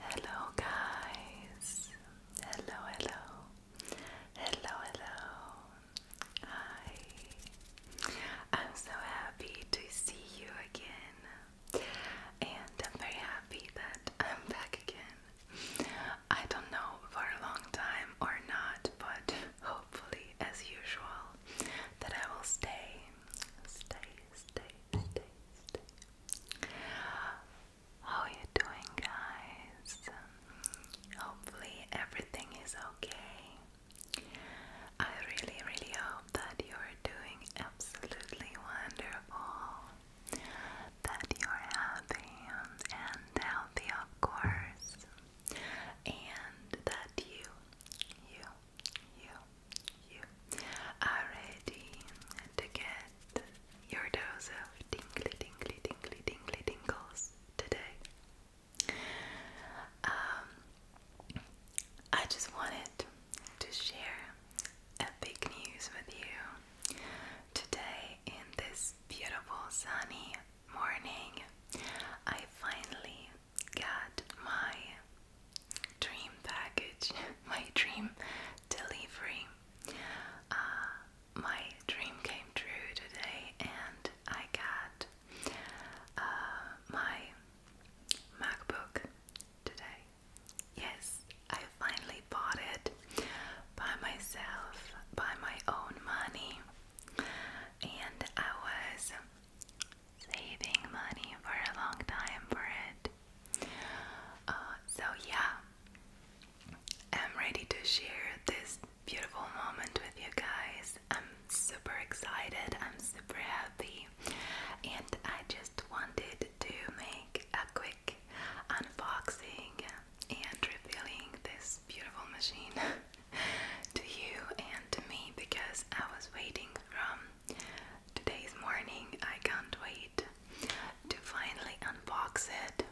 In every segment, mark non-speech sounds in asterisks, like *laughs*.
Hello, guys. Hello, hello. Hello, hello. Hi. I'm so happy to see you again. And I'm very happy that I'm back again. I don't know for a long time or not, but hopefully, as usual, that I will stay stay, stay, stay, stay. How are you doing, guys? Hopefully, everything is okay. I really, really hope that you are doing absolutely wonderful, that you are happy and healthy, of course, and that you, you, you, you are ready to get your dose of tingly, tingly, tingly, tingly tingles today. Um, I just wanted to share a big news with you today in this beautiful sunny morning. I finally got my dream package, *laughs* my dream delivery. Uh, my dream came true today, and I got uh, my MacBook today. Yes, I finally bought it by myself, by my own money, and I was saving money for a long time for it. Uh, so, yeah, I'm ready to share this beautiful moment with you guys. I'm super excited, I'm super happy, and I just wanted to make a quick unboxing and revealing this beautiful machine. *laughs* *laughs* to you and to me because I was waiting from today's morning. I can't wait to finally unbox it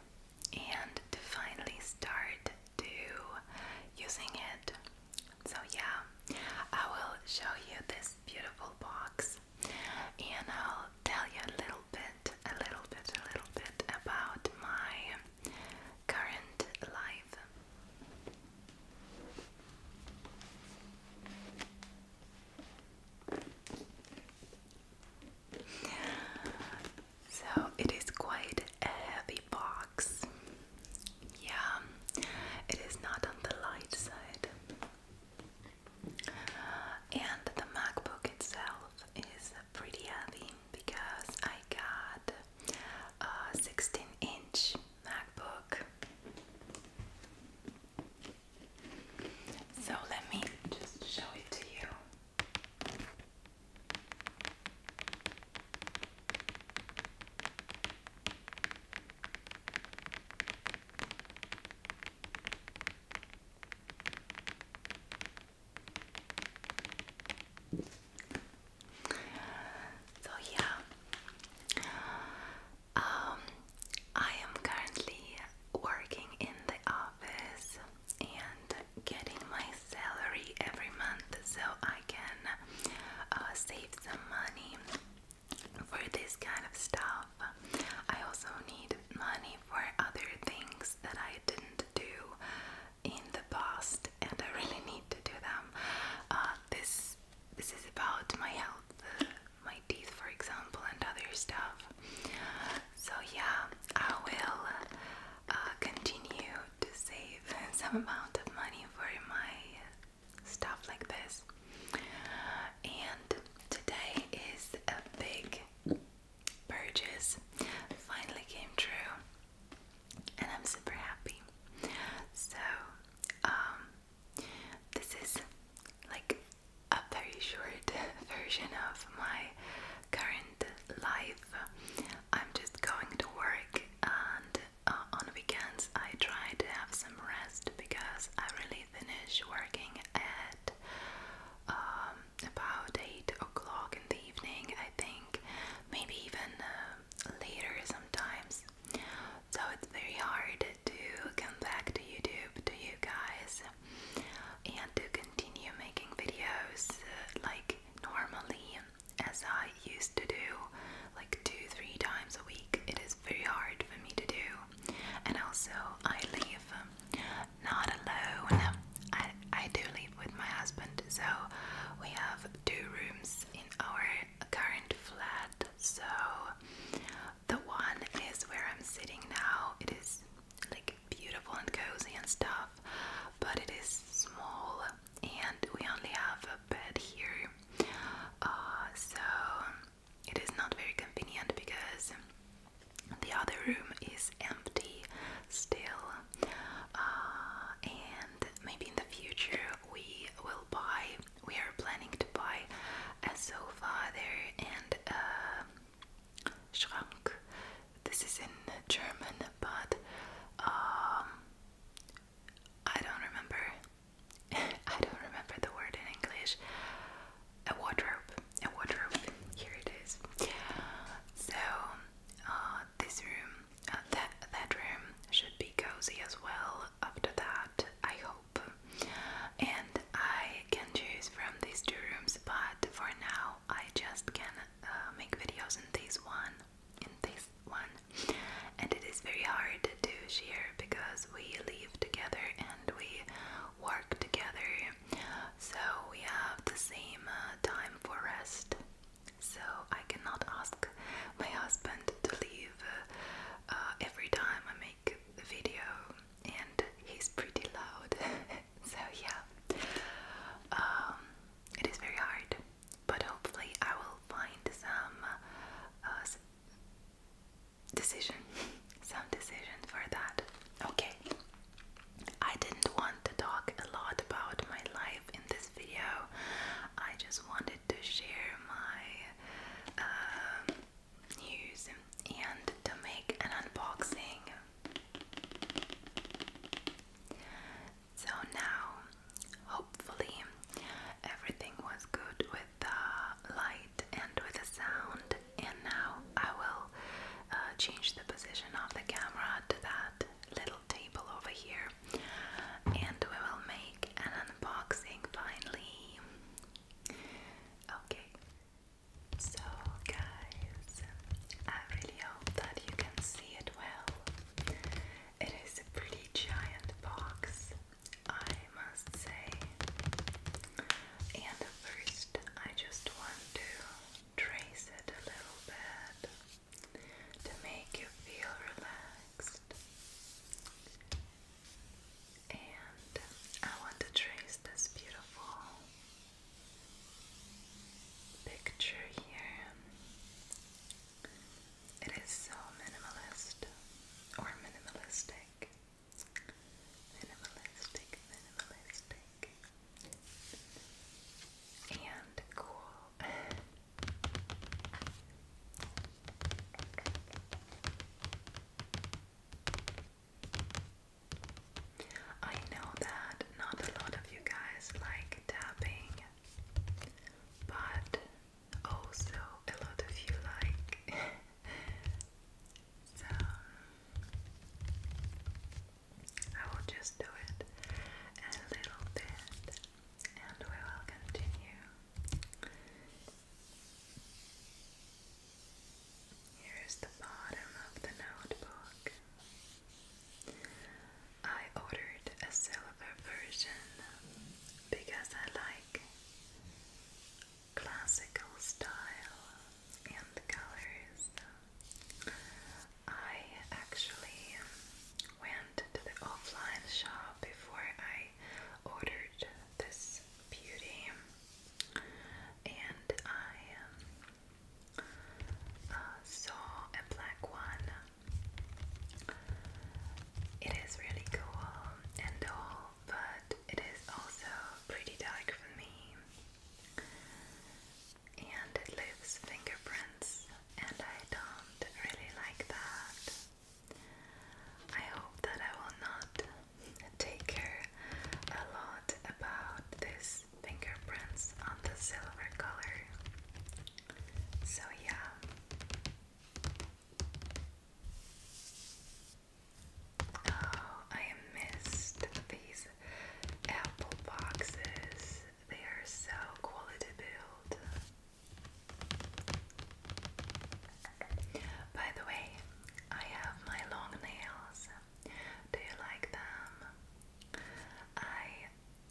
and to finally start to using it. So yeah, I will show you this beautiful box and I'll tell you a little bit, a little bit, a little bit about my current life. So it is quite a heavy box. Yeah, it is not on the light side. And the MacBook itself is pretty heavy because I got uh, 16 inch MacBook. So let me just show it to you. So yeah, um, I am currently working in the office and getting my salary every month, so I can uh, save some money for this kind of stuff. I also need money for other things that I didn't do in the past, and I really need to do them. Uh, this this is about my health, uh, my teeth, for example, and other stuff. So yeah, I will uh, continue to save *laughs* some amount of money for my stuff like this. And today is a big purchase. Finally came true and I'm super happy. So, um, this is like a very short *laughs* version of my current life. I'm just going to work, and uh, on weekends I try to have some rest because I really finish working at um, about 8 o'clock in the evening, I think, maybe even. Uh, later sometimes. So it's very hard to come back to YouTube to you guys and to continue making videos uh, like normally as I used to do, like two, three times a week. It is very hard for me to do, and also I leave not alone. I do live with my husband, so we have two rooms in our current flat. So the one is where I'm sitting now. It is like beautiful and cozy and stuff, but it is small and we only have a bed here. Uh, so it is not very convenient because the other room is empty still uh, and maybe in the future we will buy. We are planning to buy a sofa there and Schrank. This is in German, but um, I don't remember. *laughs* I don't remember the word in English. A wardrobe. A wardrobe. Here it is. So uh, uh, this room, uh, that that room should be cozy as well. After that, I hope, and I can choose from these two rooms. But for now, I just can uh, make videos in this one, in this one, and it is very hard to do share because we live together and we work together, so we have the same time for rest. So I cannot ask my husband to leave uh, every time I make a video, and he's pretty loud. *laughs* so yeah, um, it is very hard, but hopefully I will find some uh, decision, *laughs* some decision for that. Okay, I didn't want to talk a lot about my life in this video. I just wanted to share my um, news and to make an unboxing. So now, hopefully, everything was good with the light and with the sound, and now I will uh, change the position of the camera to that little table over here and we will make an unboxing finally. Okay. So, guys, I really hope that you can see it well. It is a pretty giant box, I must say. And first, I just want to trace it a little bit to make you feel relaxed. And I want to trace this beautiful picture here. It is so minimalist or minimalistic. Minimalistic, minimalistic big and cool. I know that not a lot of you guys like tapping, but also a lot of you like. *laughs* so I will just do it a little bit and we will continue. Here is the bottom of the notebook. I ordered a silver version because I like classical style and colors. I actually went to the offline shop before I ordered this beauty and I um, uh, saw a black one. It is really cool and all, but it is also pretty dark for me and it leaves fingerprints, and I don't really like that. I hope that I will not take care a lot about this fingerprints on the silver color. So, yeah. Oh, I missed these Apple boxes. They are so quality built. By the way, I have my long nails. Do you like them? I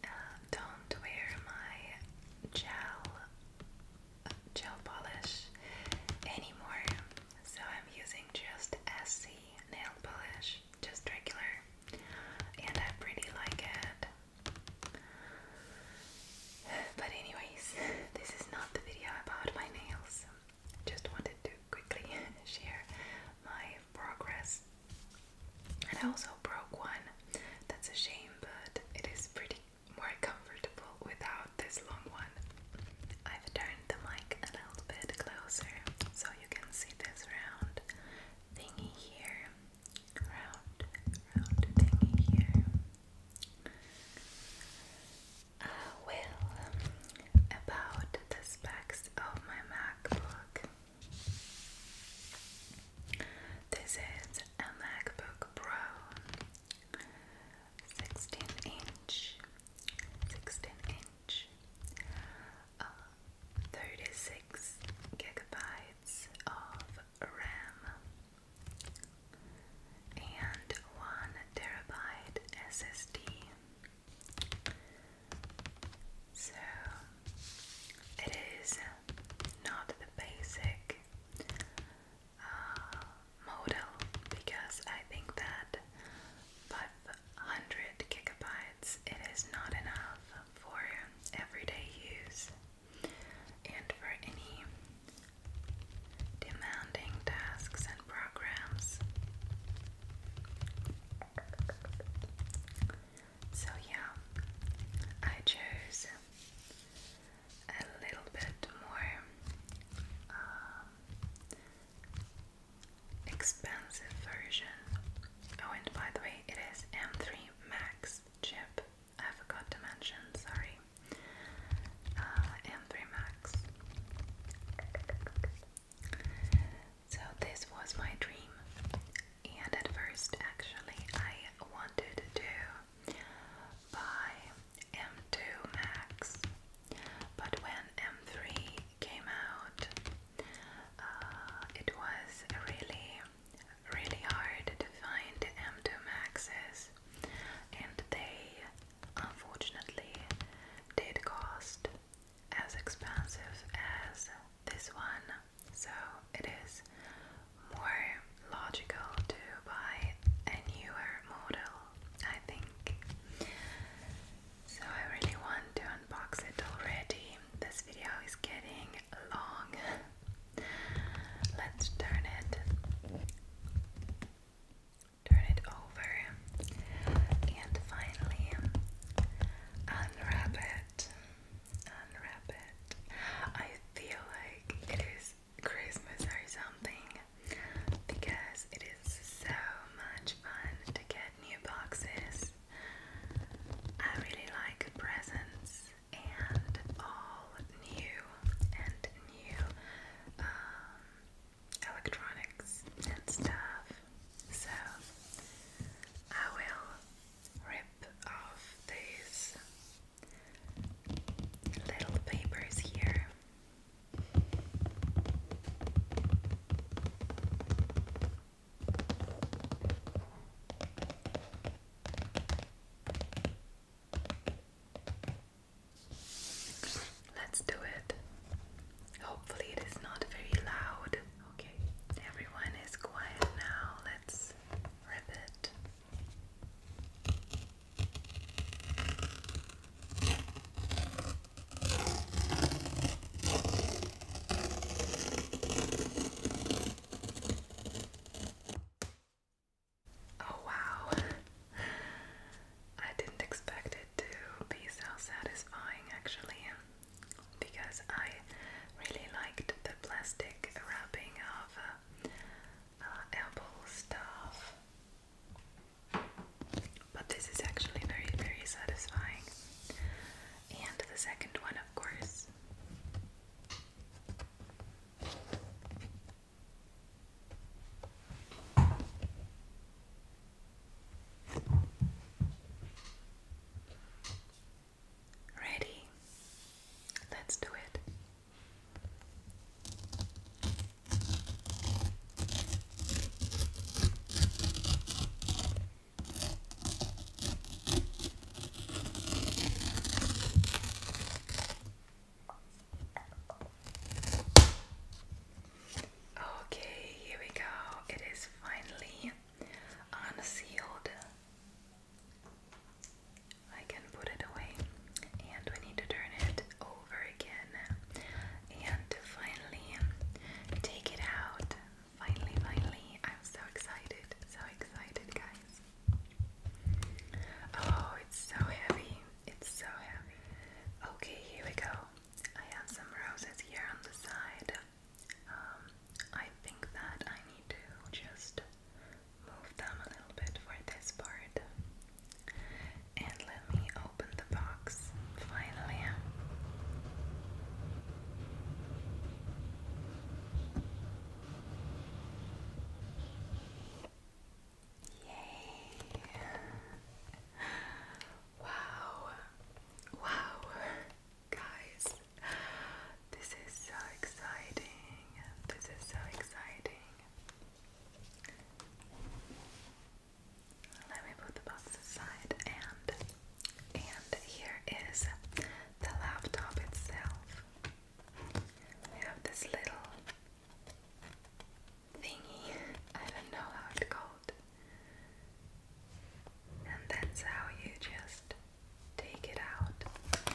um, don't wear my gel gel polish anymore, so I'm using just SC nail polish, just regular and I really like it. But anyways, *laughs* this is not the video about my nails. Just wanted to quickly *laughs* share my progress. And I also broke one. That's a shame, but it is pretty more comfortable without this long one. I've turned the mic a little bit closer so you can see this round thingy here, round, round thingy here. Uh, well, about the specs of my MacBook. This is a MacBook Pro 16 inch, 16 inch. Uh, 36 gigabytes of RAM and 1 terabyte SSD. So it is not the basic uh, model because I think that 100 gigabytes, it is not enough for everyday use and for any demanding tasks and programs. So, yeah, I chose a little bit more um, expensive version. Oh, and by the way, it is M3 Max chip. I forgot to mention, sorry. Uh, M3 Max. So, this was my dream, and at first, actually, I wanted to buy M2 Max, but when M3 came out, uh, it was really, really hard to find M2 Maxes, and they unfortunately did cost as expensive as this one. So it is more logical to buy a newer model, I think. So I really want to unbox it already. This video is getting long. *laughs* Let's turn it. Turn it over and finally unwrap it. Unwrap it. I feel like it is Christmas or something because it is was so much fun to get new boxes. I really like presents and all new and new um, electronics and stuff. So I will rip off these little papers here Let's do it. Hopefully, it is not very loud. Okay, everyone is quiet now. Let's rip it. Oh, wow. I didn't expect it to be so satisfying actually, because I really liked the plastic wrapping of uh, uh, apple stuff. But this is actually very, very satisfying. And the second one, of course. Ready? Let's do it. Okay, here we go. It is finally unsealed. I can put it away, and we need to turn it over again and finally take it out. Finally, finally, I'm so excited, so excited, guys. Oh, it's so heavy, it's so heavy. Okay, here we go. I have some roses here on the side. Um, I think that I need to just move them a little bit for this part. And let me open the box finally. Yay! Wow! Wow! Guys, this is so exciting! This is so exciting! Let me put the box aside and and here is the laptop itself. We have this little thingy. I don't know how it's called. And that's how you just take it out.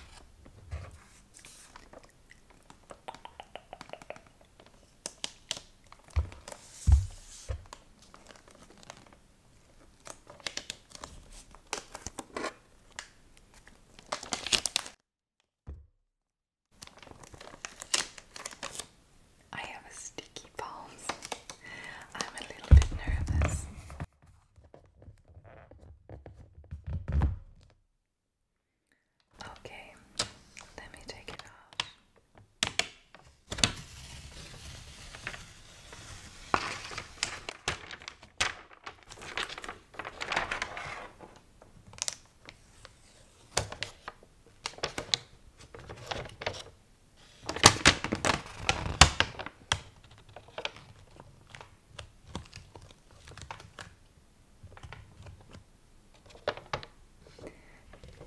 I have a sticky palms. I'm a little bit nervous. Okay, let me take it off.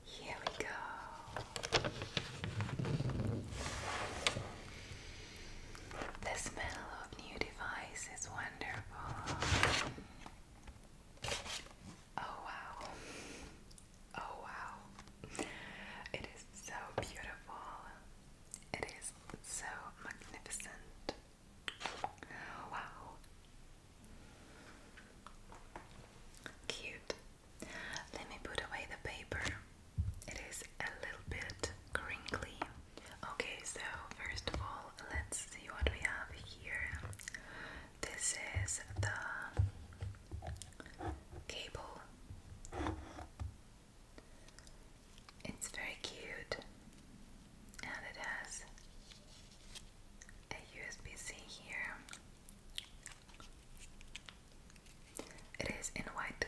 Here we go. The smell of new device is wonderful. Oh wow. Oh wow. It is so beautiful. It is so magnificent. Wow. Cute. Let me put away the paper. It is a little bit crinkly. Okay, so first of all, let's see what we have here. This is the cable. It's very cute and it has a USB-C here. It is in white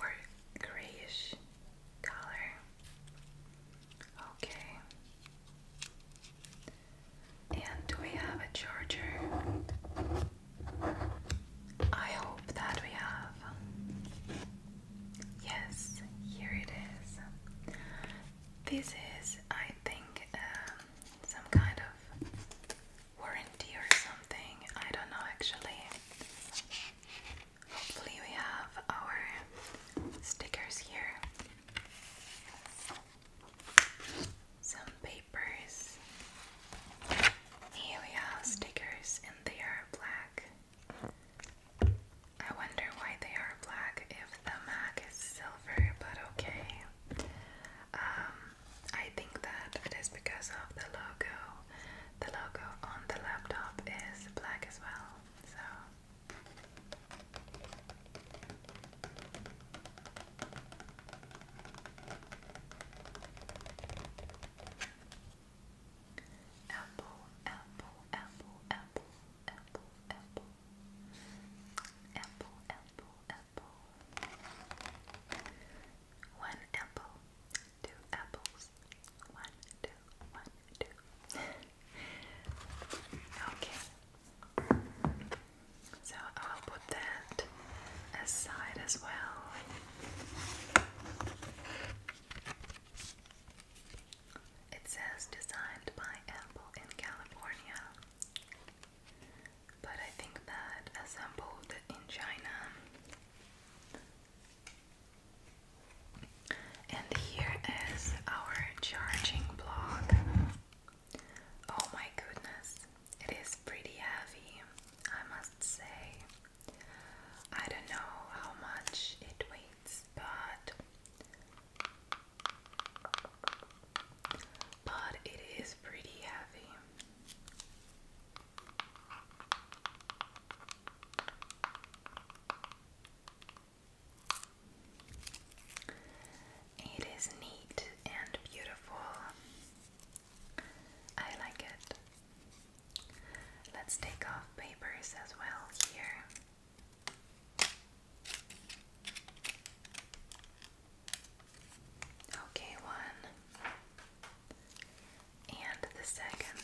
or grayish color. Okay. And do we have a charger? I hope that we have. Yes, here it is. This is, I think, um, some kind of warranty or something. I don't know actually. Hopefully, we have our stickers here. Some papers. Here we have stickers, and they are black. I wonder why they are black if the Mac is silver, but okay. Um, I think that it is because of the logo. The logo on the laptop is black as well, so. Apple, apple, apple, apple apple, apple, apple, apple, apple. One apple, two apples, one, two, one, two. okay. So I'll put that aside as well. It says designed by Apple in California, but I think that assembled in China. And here is our charging block. Oh my goodness, it is pretty heavy, I must say. I don't know how much it weighs, but but it is pretty heavy. It is neat and beautiful. I like it. Let's take off papers as well here. Okay, one and the second.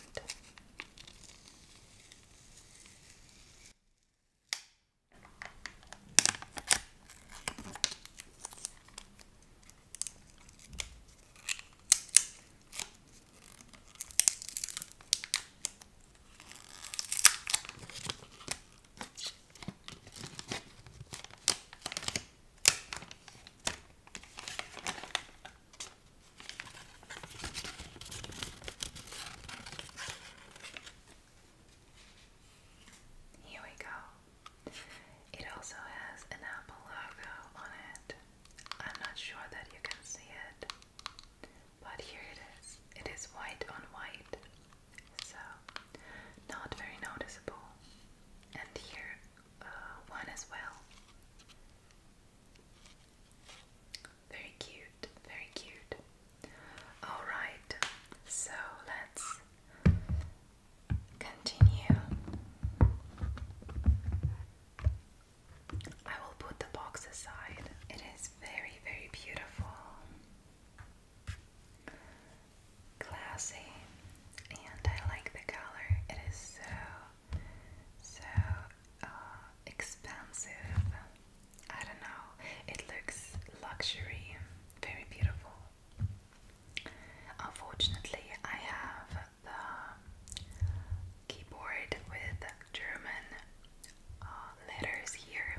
Here we go. It also has an Apple logo on it. I'm not sure that you can see it, but here it is. It is white on white, so not very noticeable. And here, uh, one as well. Very cute, very cute. Alright, so let's continue. I will put the box aside. It is very, very beautiful. Classy, and I like the color. It is so, so uh, expensive. I don't know. It looks luxury, very beautiful. Unfortunately, I have the keyboard with German uh, letters here,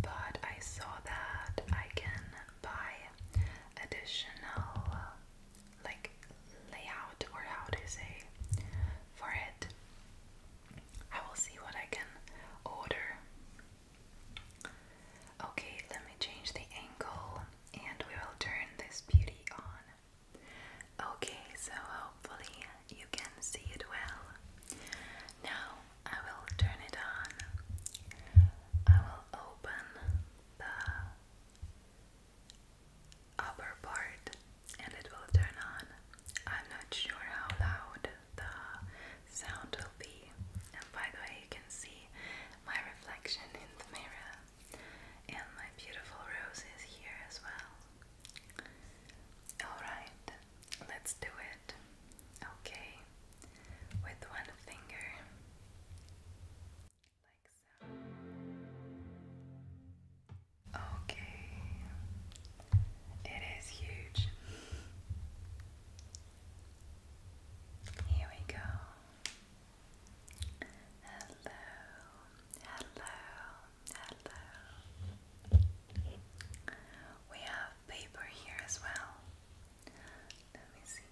but I saw that I can buy additional like layout or how to say for it. I will see what I can order. Okay, let me change the angle and we will turn this beauty on. Okay, so hopefully you can see it well. Now I will turn it on. I will open the upper part and it will turn on. I'm not sure how loud the sound will be. And by the way, you can see my reflection in the mirror and my beautiful rose is here as well. Alright, let's do it. Okay, with one finger, like so. Okay, it is huge. Here we go. Hello, hello, we have paper here as well. Let me see.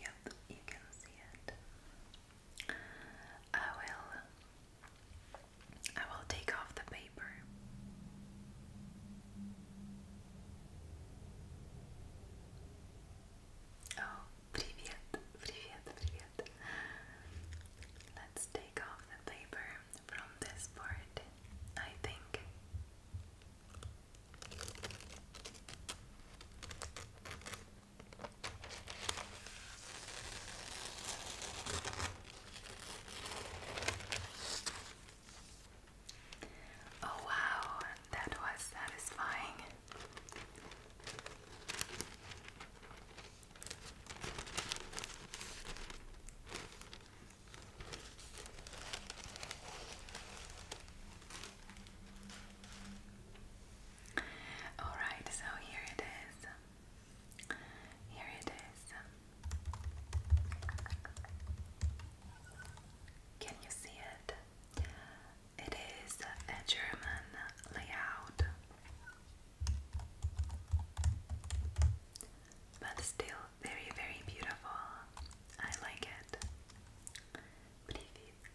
Yep, you can see it. I will I will take off the paper. Oh, Привет, привет, привет. Let's take off the paper from this part, I think. Oh, wow, that was satisfying. All right, so here it is. Here it is. Can you see it? It is a German layout. But still very, very beautiful. I like it. Привет.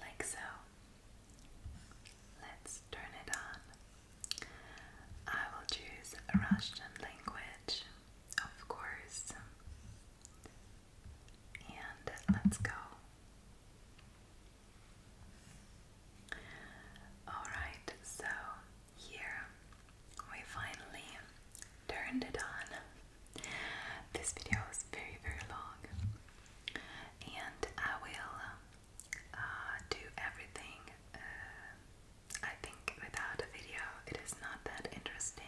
Like so. Let's turn it on. I will choose Russian language, of course and let's go. Alright, so here we finally turned it on. This video was very, very long, and I will uh, do everything. Uh, I think without a video, it is not that interesting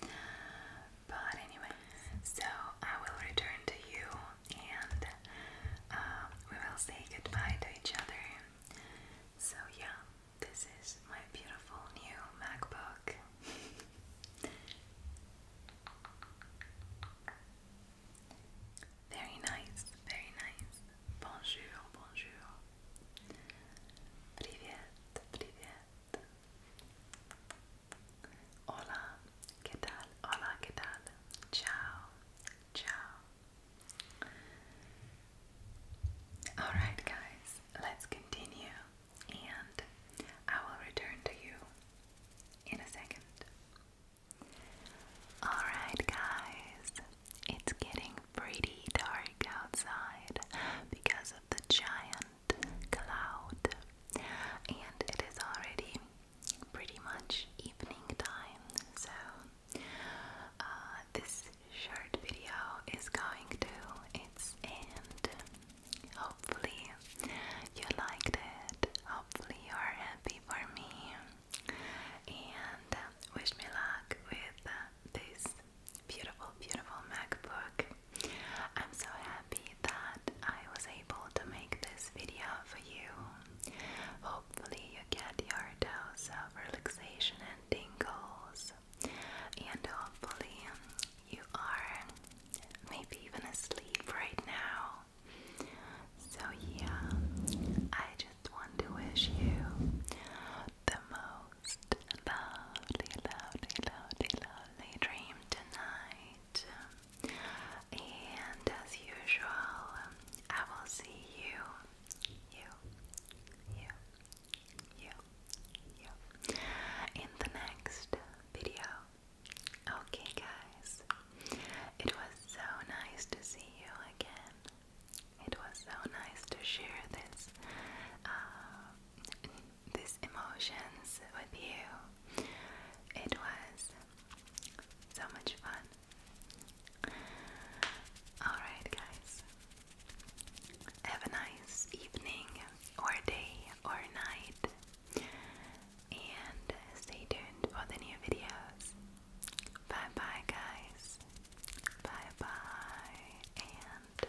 but anyway, so I will return to you and um, we will say goodbye to each other. So, yeah, this is my beautiful new MacBook. *laughs* Very nice, very nice. Bonjour, bonjour. Привет, привет. Hola, ¿qué tal? Hola, ¿qué tal? Ciao, ciao. Alright, guys, let's continue, and I will return to you in a second. Alright, guys, it's getting pretty dark outside because of the giant cloud, and it is already pretty much evening time. So, uh, this short video is going to its end. Hopefully, you liked it. Hopefully, you are happy for me. And uh, wish me luck with uh, this beautiful, beautiful MacBook. I'm so happy that I was able to make this video for you. Hopefully, you get your dose of relaxation and tingles, and hopefully, you are maybe even asleep right now. So, yeah, I just want to wish you the most most lovely, lovely, lovely, lovely dream tonight. And as usual, I will see you, you, you, you, you in the next video. Okay, guys, it was so nice to see you again. It was so nice to share this uh, these emotions with you. It was so much fun. Alright, guys. Have a nice evening, or day, or night. And stay tuned for the new videos. Bye bye, guys. Bye bye, and